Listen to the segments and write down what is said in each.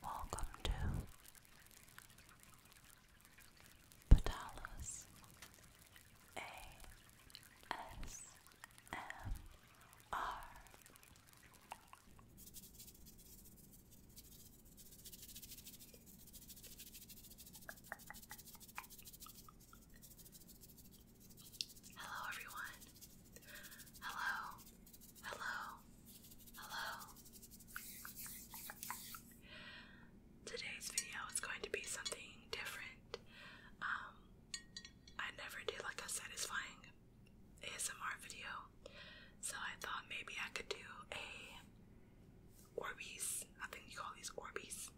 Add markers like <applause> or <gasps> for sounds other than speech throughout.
Welcome to Patalas ASMR. Hello, everyone. Hello, hello, hello. Today's video is going to be something different. Um, I never did like a satisfying ASMR video, so I thought maybe I could do a Orbeez, I think you call these Orbeez,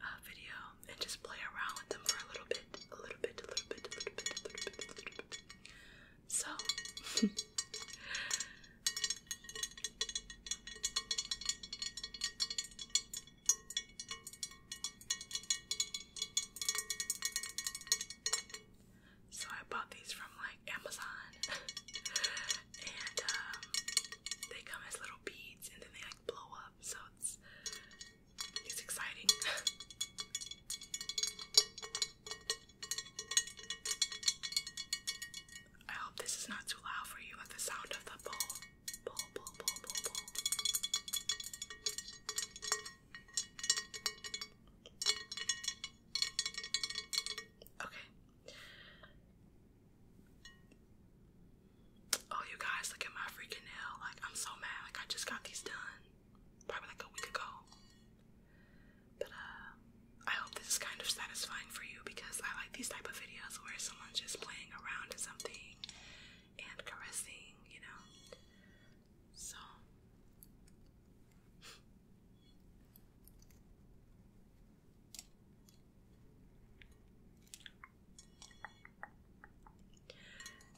uh, video and just play around with them for a little bit, a little bit, a little bit. So <laughs> So I bought these from like Amazon <laughs> and um, they come as little beads and then they like blow up so it's it's exciting. I hope this is not too loud for you at the sound of the bowl. Bowl, bowl, bowl, bowl, Okay. Oh, you guys, look at my freaking nail. Like, I'm so mad. Like, I just got these done probably like a week ago. But uh, I hope this is kind of satisfying for you because I like these type of videos where someone's just playing around to something and caressing, you know. So.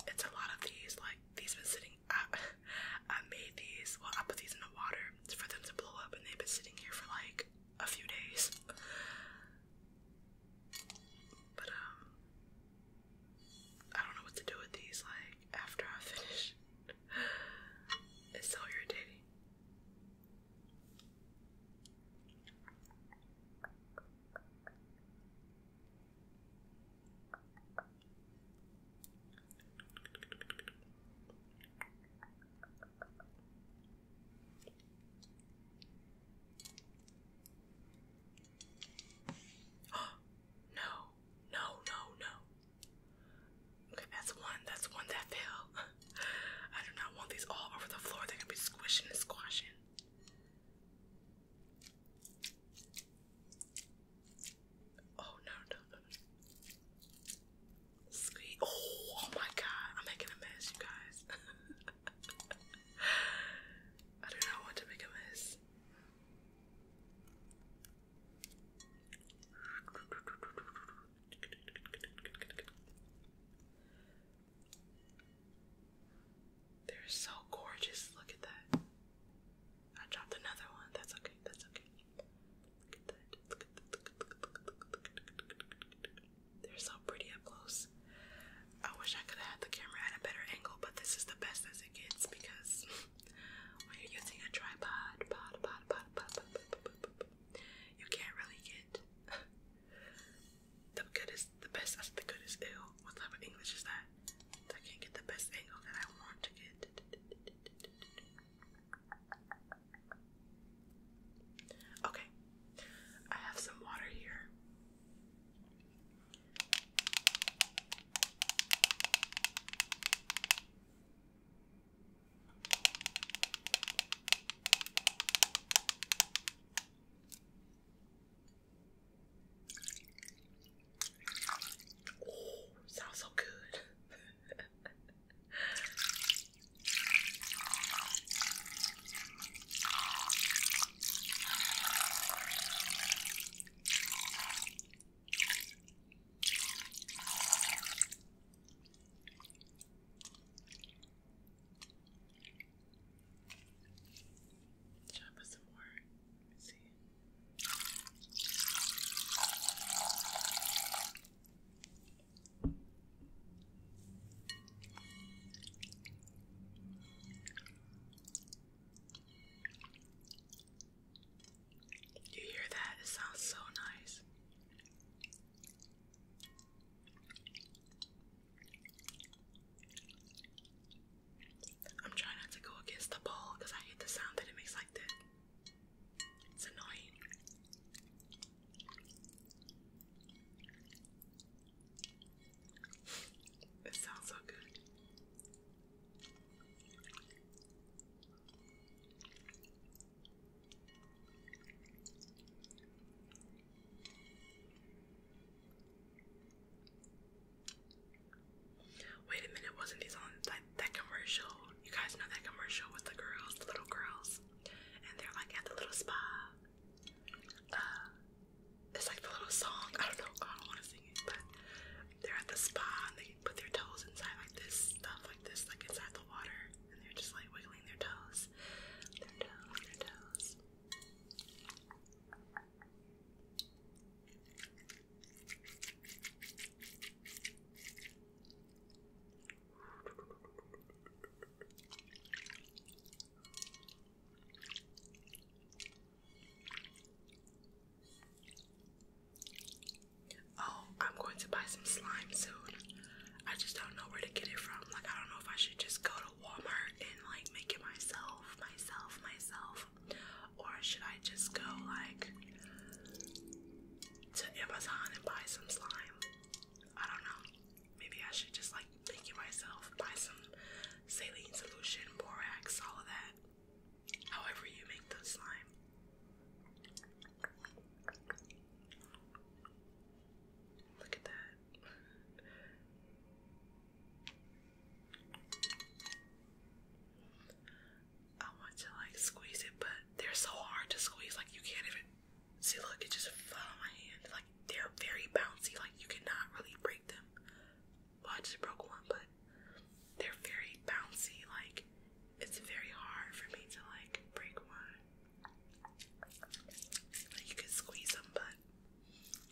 It's a lot of these, like these been sitting I, <laughs> I made these, well I put these in the water for them to blow up and they've been sitting here for like a few days. But um I don't know what to do with these like after I <laughs> finish. it's so irritating no, no, no, no. Okay, that's one. That's one that fell. <laughs> I do not want these all over the floor. They're gonna be squishing and squashing. Oh no no no no. Squeeze. Oh, oh my god, I'm making a mess, you guys. <laughs> I do not want to make a mess. They're so gorgeous. Look at that. I dropped another one. That's okay. That's okay. Look at that. They're so pretty up close. I wish I could have had the camera at a better angle, but this is the best as it gets because when you're using a tripod, you can't really get the goodest the best as the good is ill. What type of English is that? I can't get the best angle that I want to get. Okay, I have some water here. Oh, sounds so good. Should I some more? see. you hear that? It sounds so nice. I'm trying not to go against the ball because I hate the sound that it makes like this. It's annoying. It sounds so good. Wait a minute, wasn't he on that, commercial? You guys know that commercial with the girls, the little girls, and they're like at the little spa. Uh, it's like the little song. I don't know. I don't want to sing it, but they're at the spa and they put their toes inside like this stuff, like this, like inside the water, and they're just like wiggling their toes. Oh, I'm going to buy some slime soon. I just don't know where to get it from. Like, I don't know if I should just go to Walmart and like make it myself, myself, myself or should I just go like to Amazon and buy some slime? I don't know. Maybe I should just like make it myself, buy some saline solution, borax, all of that. However, you make the slime. Look at that. I want to like squeeze it, but they're so hard to squeeze. Like you can't even see. Look, it just fell on my hand. Like they're very bouncy. Like you cannot really break them. Well, I just broke one, but they're very bouncy. Like it's very hard for me to like break one. Like you can squeeze them, but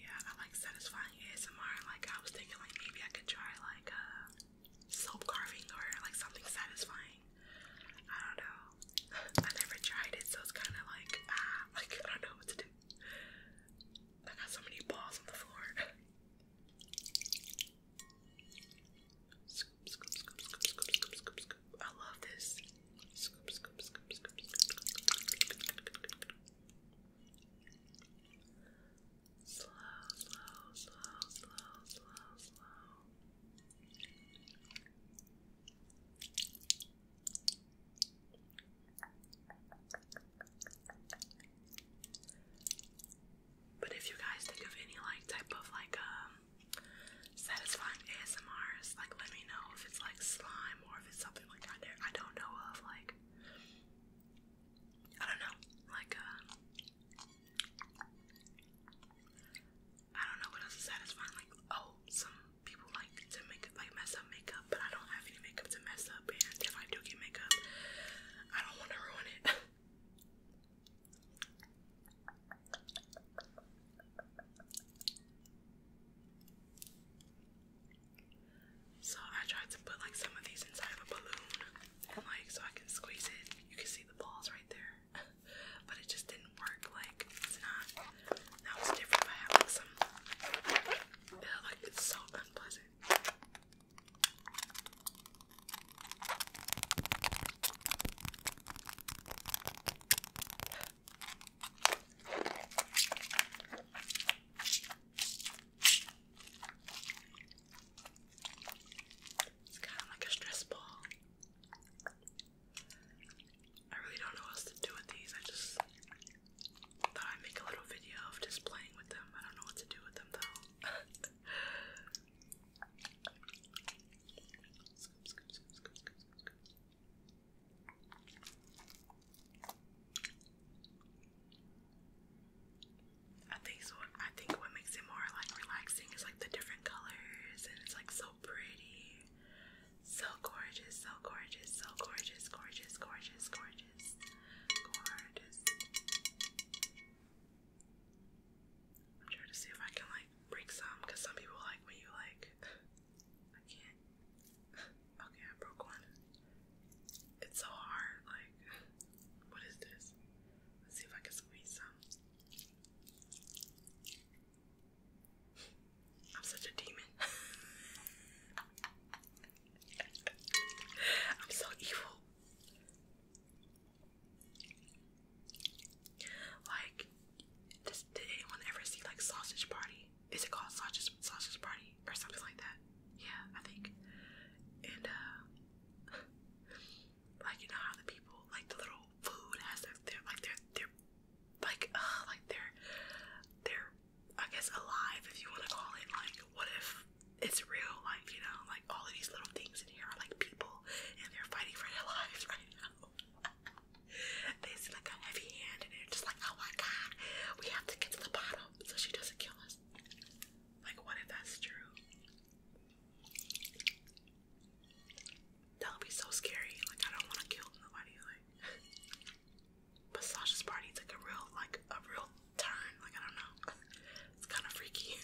Yeah, I like satisfying ASMR. Like I was thinking, like maybe I could try like a uh, soap carving or like something satisfying. I don't know. <laughs> I never tried it, so it's kind of like ah, <laughs> like I don't know what to do. I got so many balls on the floor. <laughs> I love this. Slow, slow, slow, slow, slow, slow. But if you guys think of any like type of like um satisfying ASMRs, like let me know if it's like slime or if it's something like I there I don't know of like I don't know like uh I don't know what else is satisfying like oh some people like to make like mess up makeup but I don't have any makeup to mess up and if I do get makeup I don't want to ruin it. <laughs> So I tried to put like some of these inside of a balloon and like so I can squeeze it. You can see the balls right there. <laughs> but it just didn't work, like it's not that was different by having some uh, like it's so unpleasant. It's kind of like a stress ball. I really don't know what else to do with these. I just thought I'd make a little video of just playing with them. I don't know what to do with them though. <laughs> I think so. I think what makes it more like relaxing is like the different colors, and it's like so pretty, so gorgeous, so gorgeous, so gorgeous, gorgeous, gorgeous, gorgeous, gorgeous. I'm trying to see if I can like break some because some people like when you like <laughs> I can't <laughs> okay I broke one. It's so hard, like <laughs> what is this? Let's see if I can squeeze some. I'm such a demon. I'm so evil. Like, does, did anyone ever see like Sausage Party? Is it called Sausage Sausage Party or something like that? Yeah, I think. And uh, <laughs> like you know how the people like the little food has like their like their their like uh like they're they're I guess alive if you want to call it like what if it's real like you know like all of these little things in here are like people and they're fighting for their lives <laughs> right now. they see like a heavy hand and they're just like, oh my god, we have to get to the bottom so she doesn't kill us. Like, what if that's true? That would be so scary. Like, I don't want to kill nobody. Like, <laughs> but Sasha's party took a real, like, a real turn. Like, I don't know. <laughs> It's kind of freaky.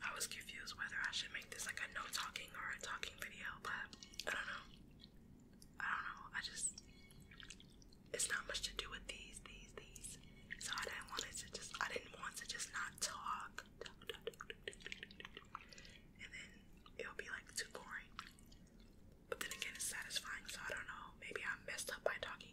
I was confused whether I should make this like a no talking or a talking video, but I don't know. I don't know. I just it's not much to do with these, these, these. So I didn't want to just I didn't want to just not talk. And then it'll be like too boring. But then again it's satisfying, so I don't know. Maybe I am messed up by talking.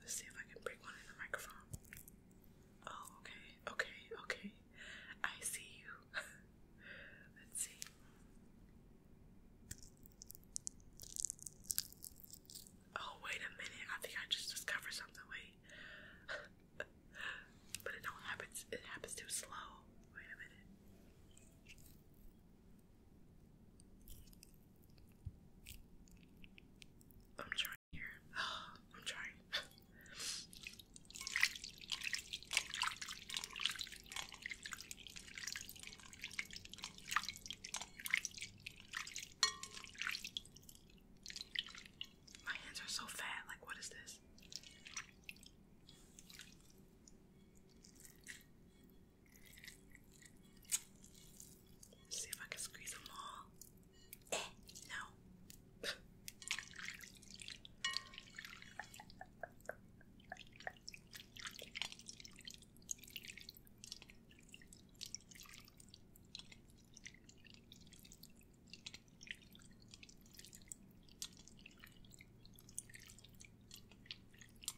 Let's see if I can bring one in the microphone. Oh, okay, okay, okay. I see you. <laughs> Let's see. Oh, wait a minute. I think I just discovered something. Wait. <laughs> but it don't happen. It happens too slow. Wait a minute. I'm trying here. <gasps> I'm trying. My hands are so fat. Like, what is this? See if I can squeeze them all. Eh, no.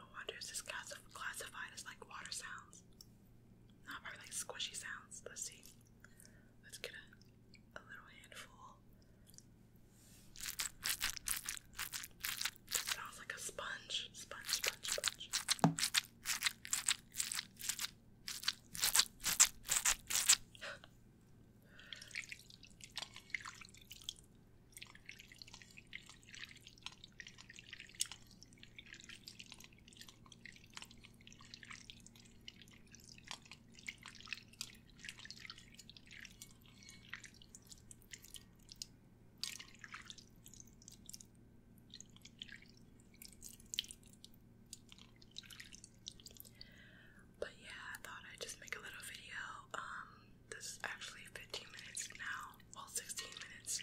I wonder if this classified as like water sounds. No, I squishy sounds. Let's see. Let's get a, little handful. sounds like a sponge. Sponge, sponge, sponge. But yeah, I thought I'd just make a little video. Um, this is actually 15 minutes now, well, 16 minutes.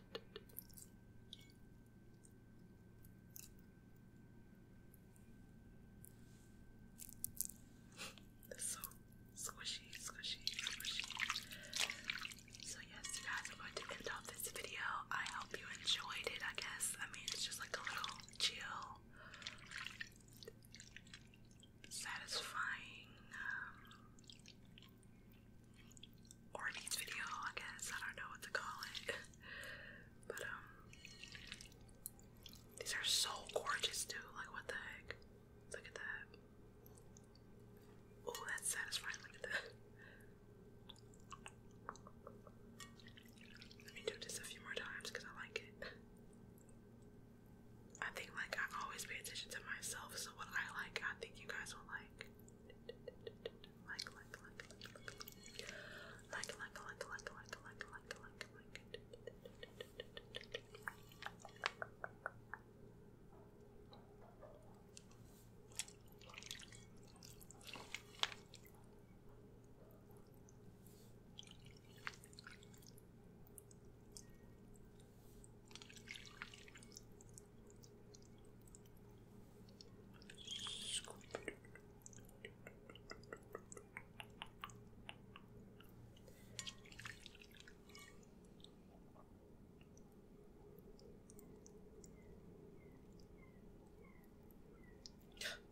so squishy, squishy, squishy. So yes, guys, I'm going to end off this video. I hope you enjoyed it. I guess. I mean, it's just like a little chill, satisfying. Um, or video, I guess. I don't know what to call it. But, um, these are so gorgeous, too. Like, what the heck? Look at that. Oh, that's satisfying. Look at that. Let me do this a few more times because I like it. I think, like, I always pay attention to myself, this what I like. I think you guys will like. Like, like, like, like, like, like, like, like, like, like, like, like, like, like.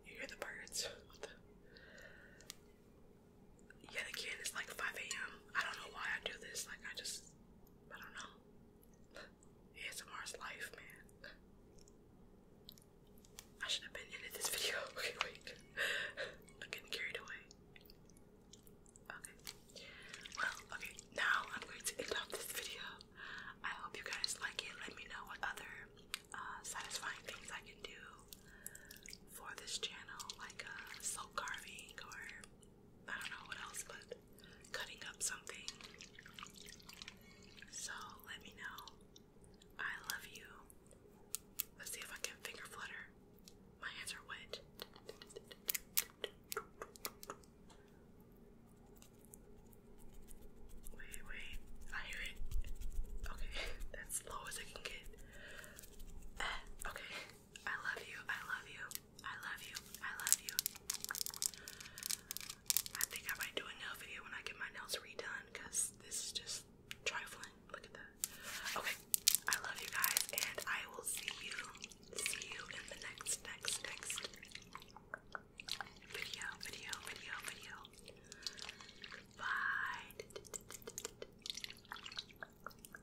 You hear the birds? What the? Yet again, like 5 a.m. I don't know why I do this. Like I just I don't know. ASMR's life, man. I should have been in this video. <laughs> Okay, wait. I'm getting carried away. Okay. Well, okay. Now I'm going to end off this video. I hope you guys like it. Let me know what other uh, satisfying things I can do for this channel, like uh, soap carving or I don't know what else, but cutting up something. So let me know. I love you. Let's see if I can finger flutter. My hands are wet. Wait, wait. I hear it. Okay, <laughs> that's low as I can get. Eh, okay. I love you. I love you. I love you. I love you. I think I might do a nail video when I get my nails redone because this is just trifling. Look at that. Okay. I love you guys and I will see you. See you in the next, next, next video, video, video, video. Bye.